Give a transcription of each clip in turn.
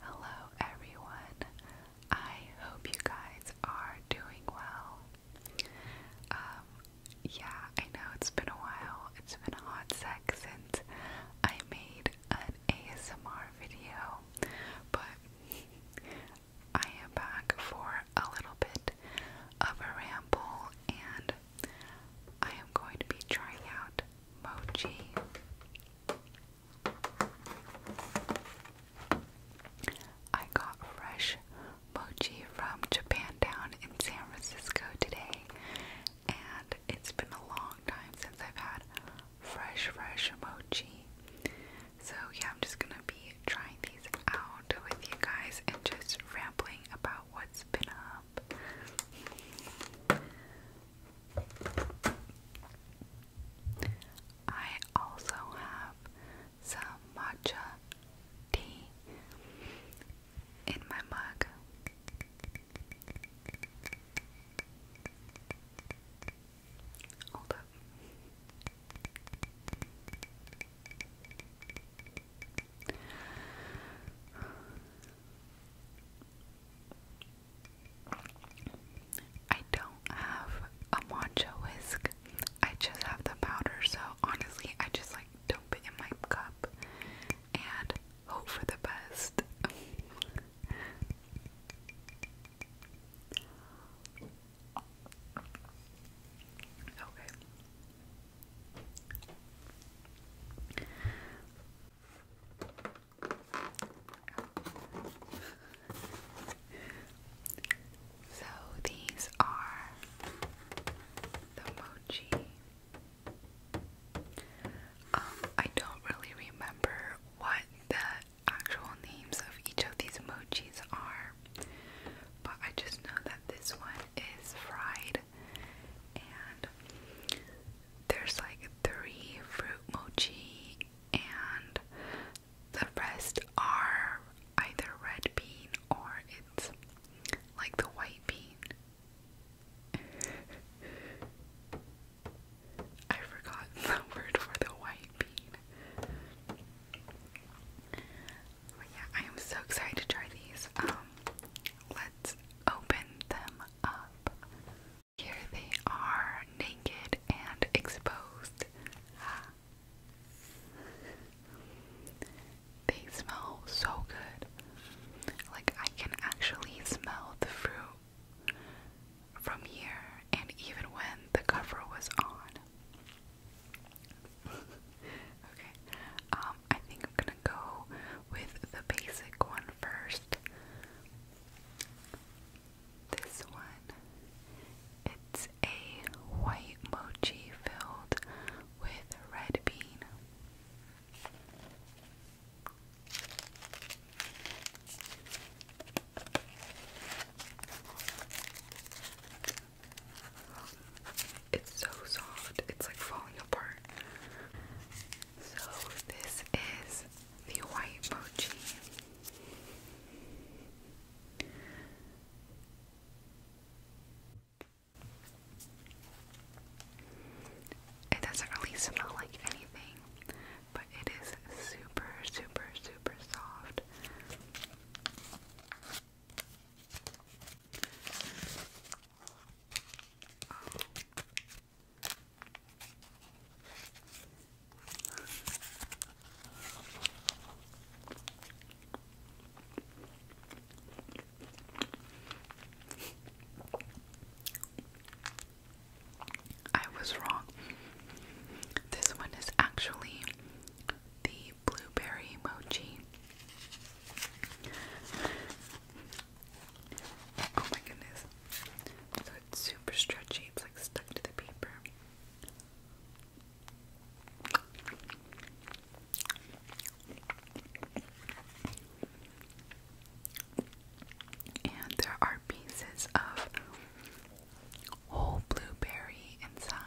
Hello, everyone. I hope you guys are doing well. Um, yeah, I know it's been a while. It's been a hot sec I made an ASMR video, but I am back for a little bit of a ramble, and I am going to be trying out mochi. I got fresh mochi from Japan down in San Francisco today, and it's been a long time since I've had fresh, fresh mochi. So, yeah, I'm just gonna be trying these out with you guys and just rambling about what's been up. I also have some matcha tea in my mug. Hold up. I don't have a matcha whisk. I just have the powder, so honestly, I just like dump it in my cup and hope for the best. okay so these are the mochi. Um, I don't really remember what the actual names of each of these emojis are, but I just know that this one is fried and there's like three fruit mochi, and the rest are either red bean or it's like the white bean. I forgot the word for the white bean. But yeah, I am so excited to try these. Um, let's open them up. Here they are, naked and exposed. Ah. They smell so good. Like, I can actually smell the fruit from here, and even when the cover was on. okay, um, I think I'm gonna go with the basic one first. This one. It's a white mochi filled with red bean. It's so soft. It's like falling so this is the white mochi. It doesn't really smell like anything, but it is super, super, super soft. I was wrong. This one is actually the blueberry mochi. Oh my goodness. So it's super stretchy, it's like stuck to the paper. And there are pieces of whole blueberry inside.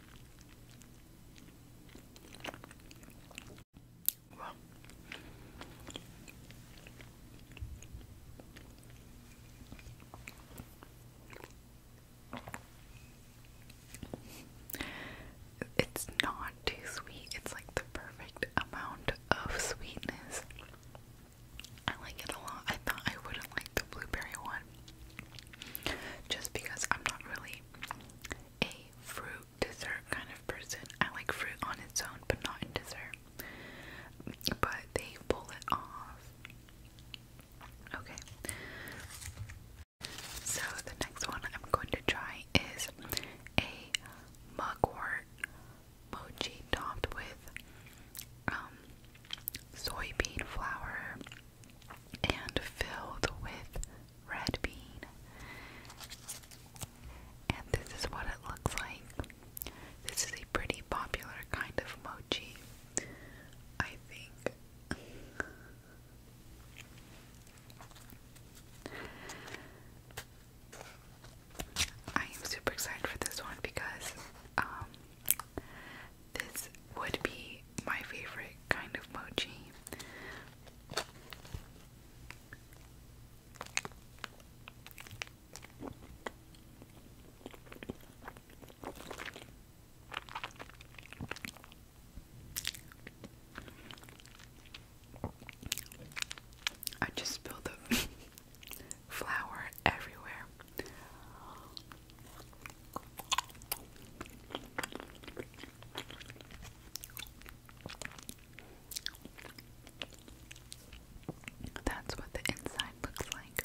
It's not too sweet. It's like the perfect amount of sweetness. I like it a lot. I thought I wouldn't like the blueberry one. Just because I'm not really a fruit dessert kind of person. I like fruit on its own, but not in dessert. But they pull it off. Okay. So the next one I'm going to try is a mugwort mochi topped with um, soybean flour and filled with red bean. And this is what it looks like. This is a pretty popular kind of mochi, I think. I am super excited for this one because um, this would be my favorite kind of mochi. I just spilled the flour everywhere. That's what the inside looks like.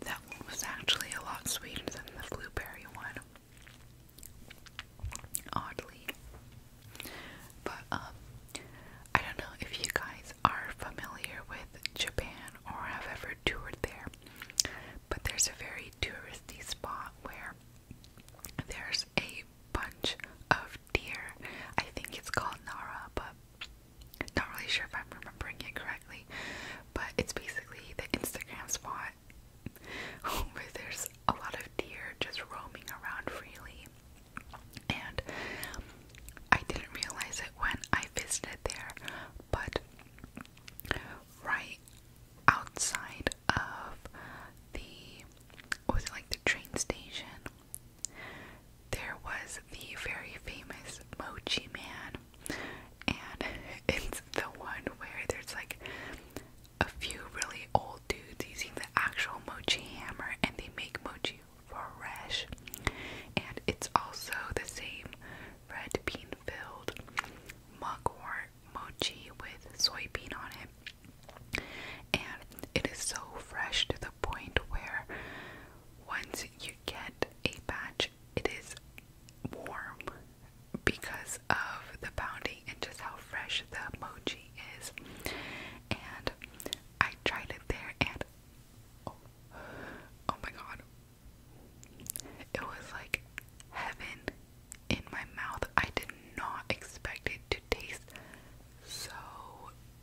That one was actually a lot sweeter than the blueberry one. Oddly. But, um, I don't know if you guys are familiar with Japan or have ever toured there, but there's a very touristy spot where there's a bunch of deer. I think it's called Nara, but not really sure if I'm remembering it correctly, but it's basically the Instagram spot where there's a lot of deer just roaming around freely. And I didn't realize it when I visited there, but right outside of the was it like the train station there was the very famous Mochi Man, and it's the one where there's like a few really old dudes using the actual mochi hammer and they make mochi fresh. And it's also the same red bean filled mochi with soybean on it. And it is so fresh to the point where once you get a batch it is warm because of the pounding and just how fresh the mochi is. And I tried it there and oh, oh my god. It was like heaven in my mouth. I did not expect it to taste so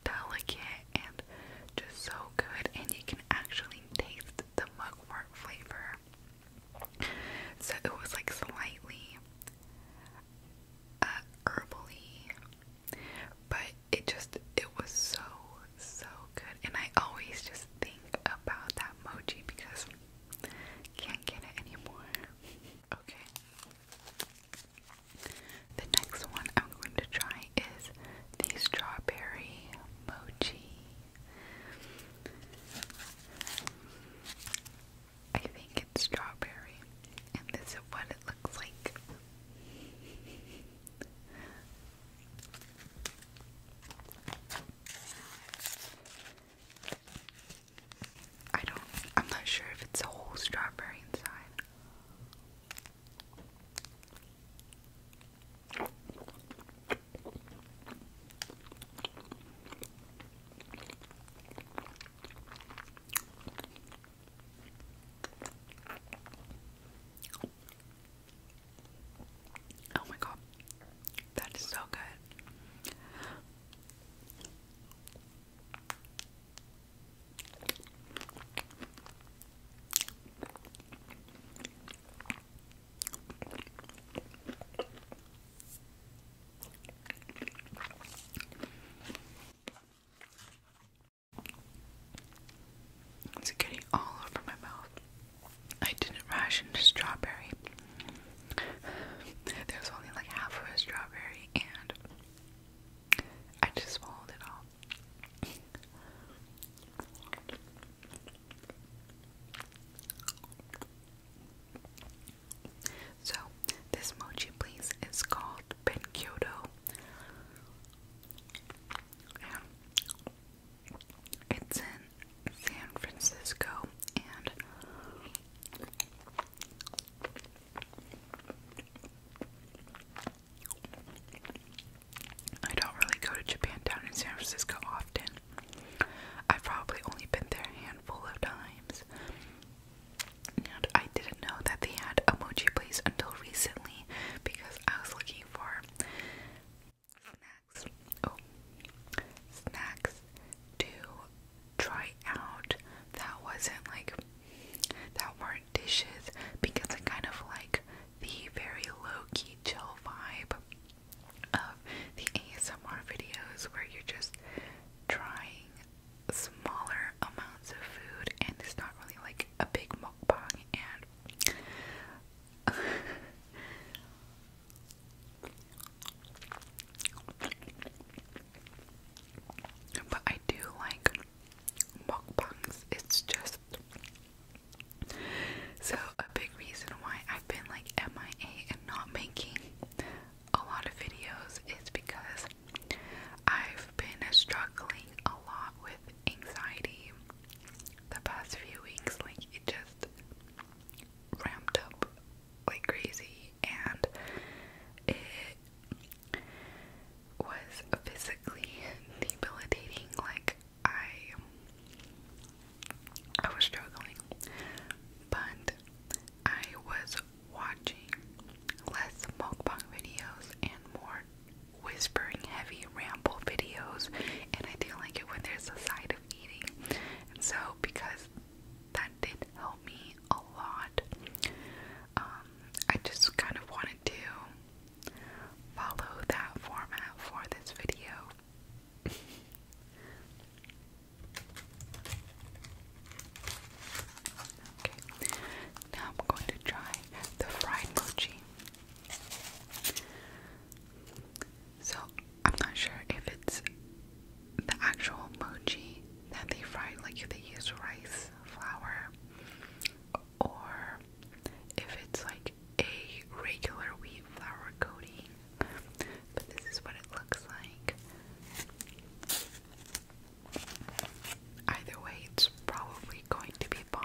delicate and just so good and you can actually really taste the mugwort flavor. So it was like slightly uh, herbally, but it just it was so so good. And I always just think about that mochi because can't get it anymore. Okay. The next one I'm going to try is the strawberry mochi. I think it's strawberry, and this is what it looks like. I don't, I'm not sure if it's a whole strawberry inside. Oh my god, that is so good. It's getting all over my mouth. I didn't ration the strawberry. There was only like half of a strawberry, and I just swallowed it all. So, this mochi place is called Benkyodo. it's in San Francisco and I don't really go to Japan down in San Francisco often. I've probably only been there a handful of times. And I didn't know that they had Emoji place until recently because I was looking for snacks. Oh, snacks to try out that wasn't like that were dishes because I kind of like the very low key chill vibe of the ASMR videos where you're just trying smaller amounts of food and it's not really like a big mukbang and but I do like mukbangs. It's just so a big reason why I've been like MIA and not making a lot of videos is because I've been struggling a lot with anxiety the past few weeks. Like it just ramped up like crazy and was physically debilitating. Like I, I was struggling, but I was watching less mukbang videos and more whispering, heavy ramble videos, and I do like it when there's a side of eating. And so, because that did help me a lot, um, I just kind of wanted to Follow that format for this video. okay, now I'm going to try the fried mochi. So, I'm not sure if it's the actual mochi that they fried, like they use rice flour or if it's like a regular wheat flour coating. But this is what it looks like. Either way, it's probably going to be Bob.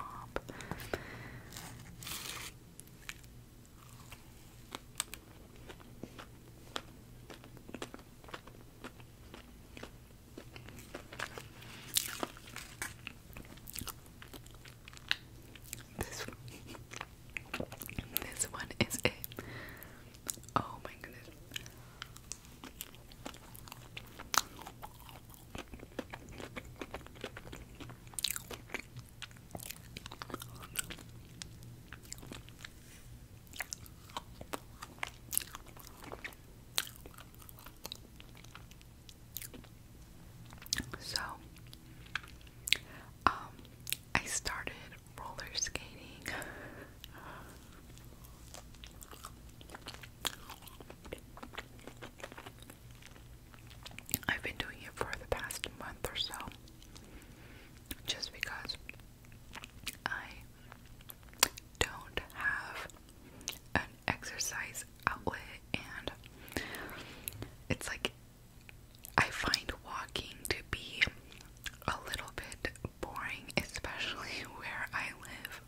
This one, this one is it. Oh my goodness. So, um, I started roller skating. I've been doing it for the past month or so just because I don't have an exercise outlet and it's like I find walking to be a little bit boring, especially where I live.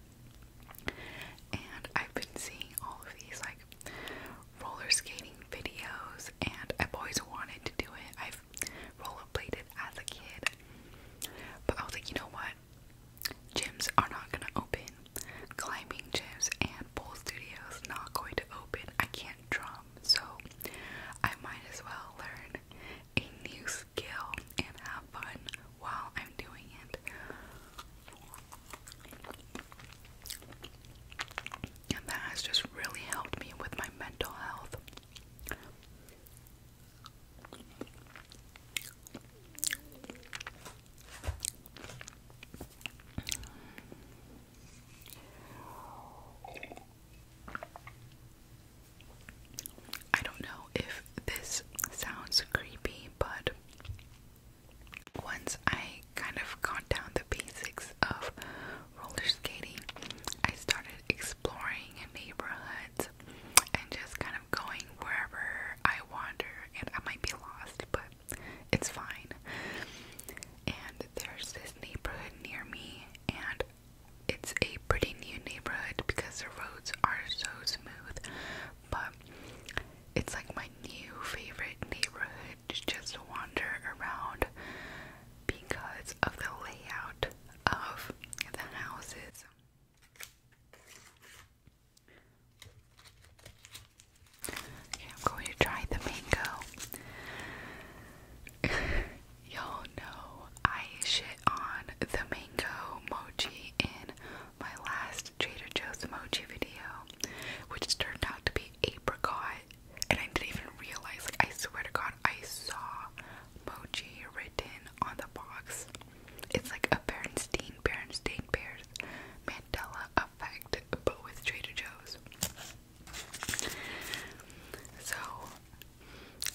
And I've been seeing all of these like roller skating videos, and I've always wanted to do it. I've rollerbladed as a kid, but I was like, you know what? Gyms are not gonna open. Climbing gyms and pool studios not going to open. I can't drum, so I might as well learn a new skill and have fun while I'm doing it. And that has just really helped me with my mental health. I don't know if this sounds creepy, but once I kind of got down the basics of roller skating, I started exploring neighborhoods and just kind of. I'm going wherever I wander and I might be lost, but it's fine. And there's this neighborhood near me, and it's a pretty new neighborhood because the roads are so smooth, but it's like my new favorite neighborhood to just wander around because of the layout of the houses. I'm going to try the mango. Y'all know I shit on the mango mochi in my last Trader Joe's mochi video, which turned out to be apricot, and I didn't even realize. I swear to God, I saw mochi written on the box. It's like a Bernstein, Bernstein Bears Mandela effect, but with Trader Joe's. So,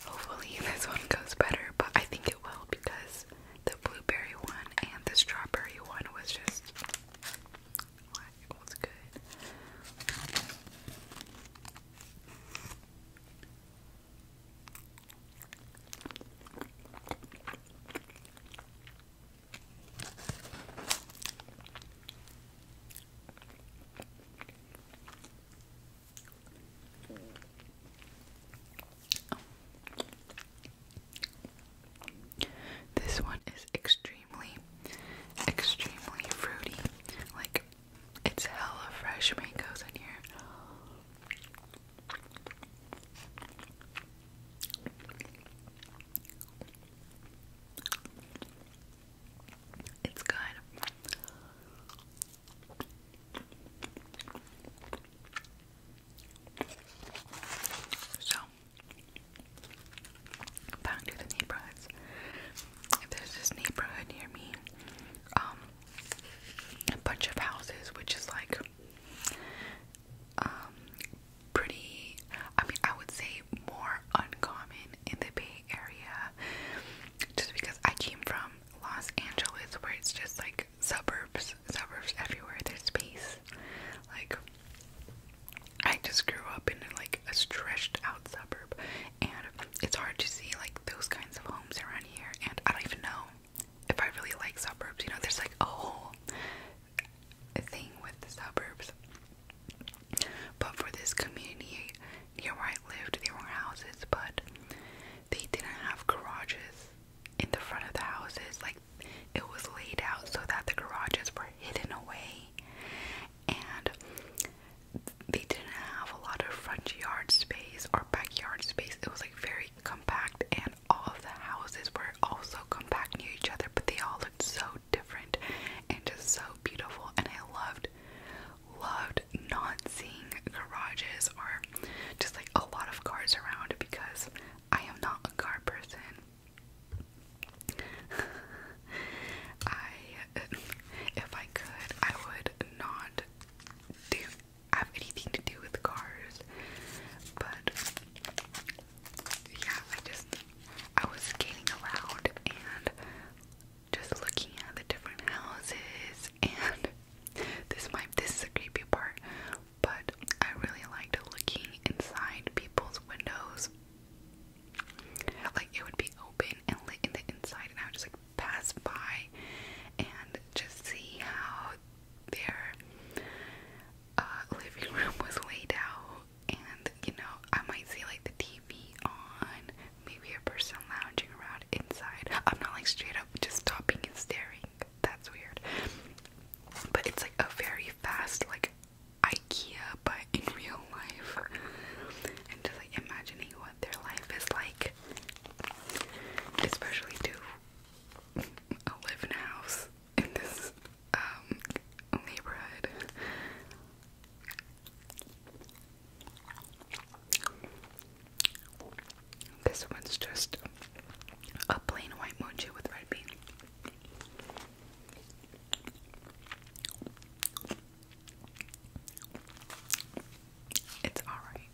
hopefully, this one goes better, but I think it will because the blueberry one and the strawberry one was just. What? was good. This one is extremely, extremely fruity, like it's hella fresh mangoes in here. It's good. So, back to the neighborhoods. there's this neighborhood near me, um, a bunch of houses, which is like um pretty I mean I would say more uncommon in the Bay Area just because I came from Los Angeles where it's just like suburbs, suburbs everywhere, there's space. Like I just grew up in like a stretched out suburb and it's hard to see like those kinds of around here, and I don't even know if I really like suburbs. You know, there's like a whole thing with the suburbs. But for this community near where I lived, there were houses, but they didn't have garages in the front of the houses. Like it was laid out so that the garages were hidden away, and they didn't have a lot of front yard space or backyard space. It was like very compact, and all of the houses were also compact near each other, but they all looked so different and just so beautiful. And I loved, loved not seeing garages or just like a lot of cars around because I am not a car person. I, if I could, I would not do have anything to do with cars. But yeah, I just I was skating around and just looking at the different houses and this might this is a creepy part, but I really liked looking inside people's windows. Like it would be open and lit in the inside and I was just like pass by and just see how their uh, living room was laid out. And you know, I might see like the TV on, maybe a person lounging around inside. I'm not like straight up just stopping and staring. That's weird. But it's like a very fast, like IKEA, but in real life. And just like imagining their life is like, especially to live in a house in this um, neighborhood. This one's just a plain white mochi with red bean. It's alright.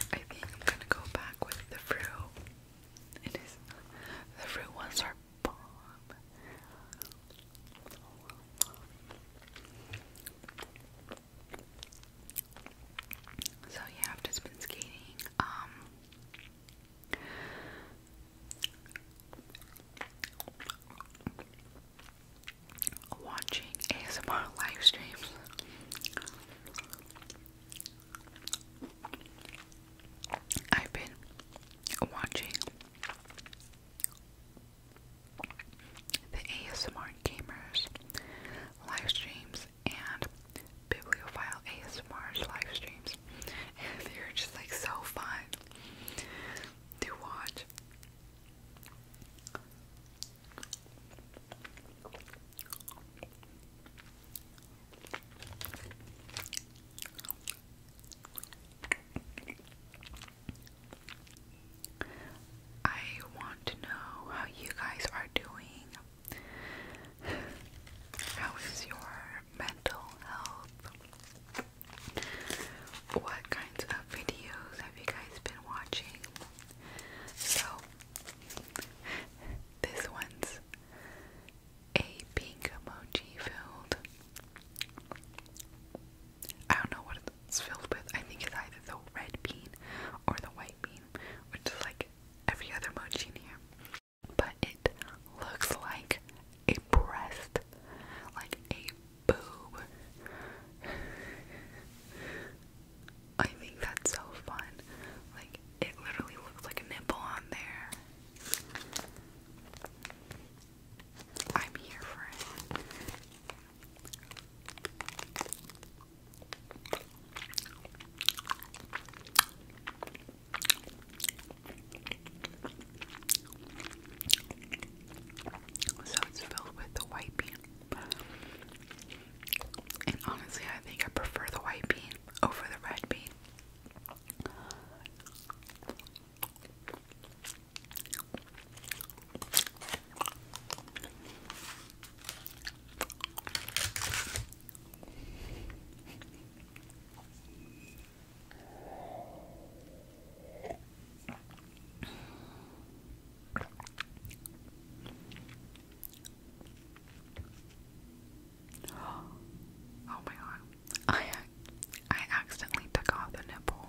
I think I'm gonna go back with the fruit. the fruit ones are bomb. So yeah, I've just been skating. Um, watching ASMR live streams. I've been watching the ASMR gamers live streams and bibliophile ASMR's live streams. they're just like so fun to watch. I want to know how you guys are doing. How is your mental health? What kinds of videos have you guys been watching? So, this one's a pink emoji filled. I don't know what it's filled with. I think it's either the red bean or the white which is like every other mochi here. But it looks like a breast, like a boob. I think that's so fun. Like, it literally looks like a nipple on there. I'm here for it. So it's filled with the white bean. And honestly, I think I prefer the white bean over the red bean. Oh my god. I I accidentally took off the nipple.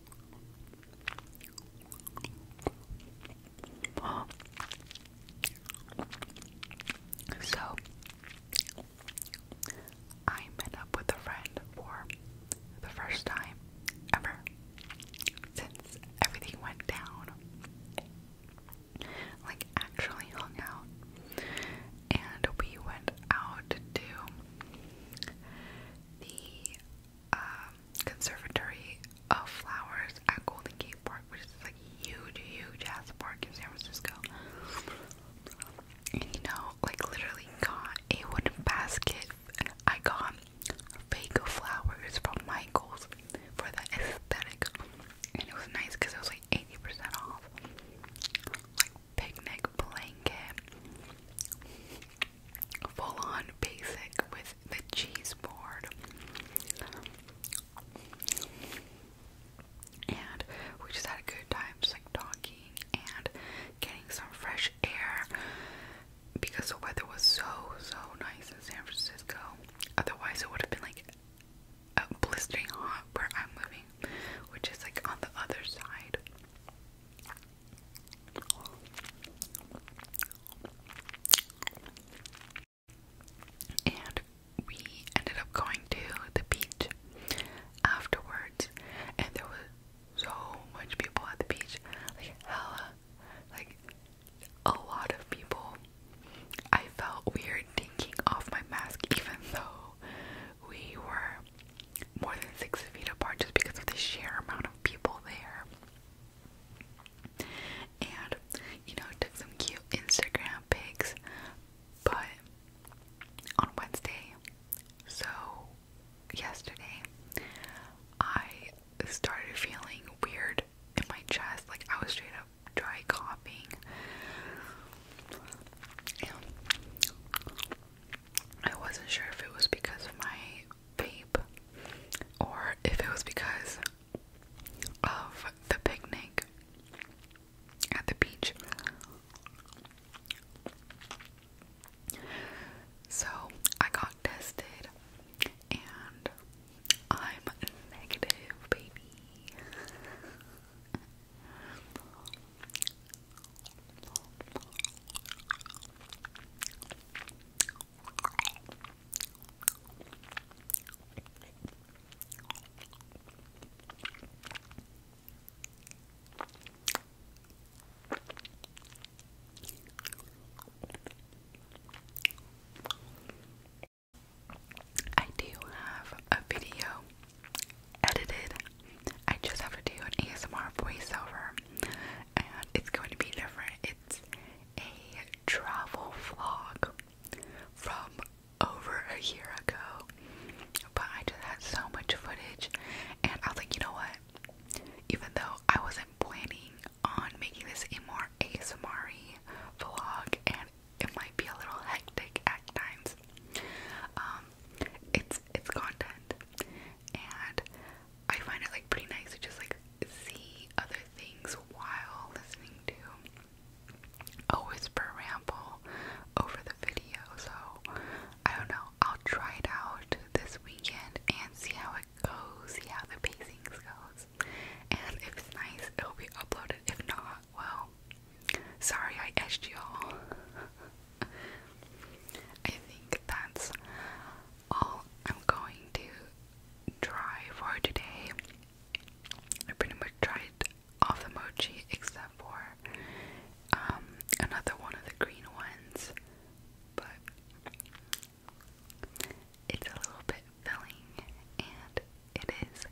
So, I met up with a friend for the first time ever since everything went down. Like, actually hung out. And we went out to the um, Conservatory of Flowers at Golden Gate Park, which is like huge, huge ass park in San Francisco. And you know, like literally got a wooden basket. I got fake flowers from Michaels for the aesthetic, and it was nice because it was like 80% off picnic blanket. Full on basic with the cheese board. And we just had a good time just like talking and getting some fresh air because the weather was so so nice in San Francisco. Otherwise it would have been like blistering hot where I'm living, which is like on the other side. And we ended up going to the beach afterwards, and there was so much people at the beach, like hella, like a lot of people. I felt weird taking off my mask, even though we were more than six feet apart just because of the sheer amount of people there. And, you know, took some cute Instagram pics, but on Wednesday, so yesterday, I started feeling weird in my chest, like I was straight up dry coughing. I wasn't sure if it was because of my vape or if it was because of the picnic at the beach. So I got tested and I'm negative, baby. I do have a video edited. I just have to do an ASMR voiceover, and it's going to be different. It's a travel vlog from over a year ago, but I just had so much footage, and I was like, you know what? Even though I wasn't planning on making this a more ASMR vlog, and it might be a little hectic at times. Um, it's it's content, and I find it like pretty nice to just like see other things while listening to a whisper ramble over the video. So I don't know. I'll try it out this weekend and see how it goes, see how the pacing goes, and if it's nice, it'll be uploaded. If not, well, Sorry, I asked you all. I think that's all I'm going to try for today. I pretty much tried all the mochi except for um, another one of the green ones, but it's a little bit filling and it is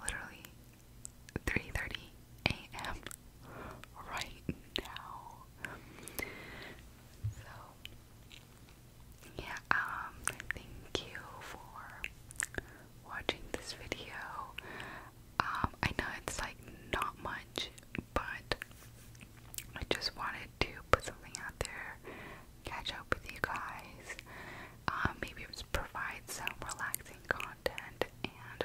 literally 3:30 a.m. right now. So yeah, um thank you for watching this video. Um I know it's like not much, but I just wanted to put something out there, catch up with you guys, um, maybe provide some relaxing content, and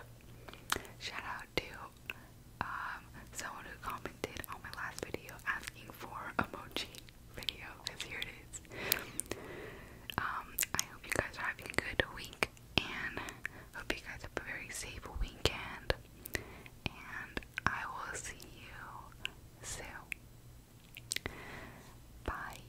Shout out to um, someone who commented on my last video asking for emoji video here it is. Um, I hope you guys are having a good week and hope you guys have a very safe weekend and I will see you soon. Bye.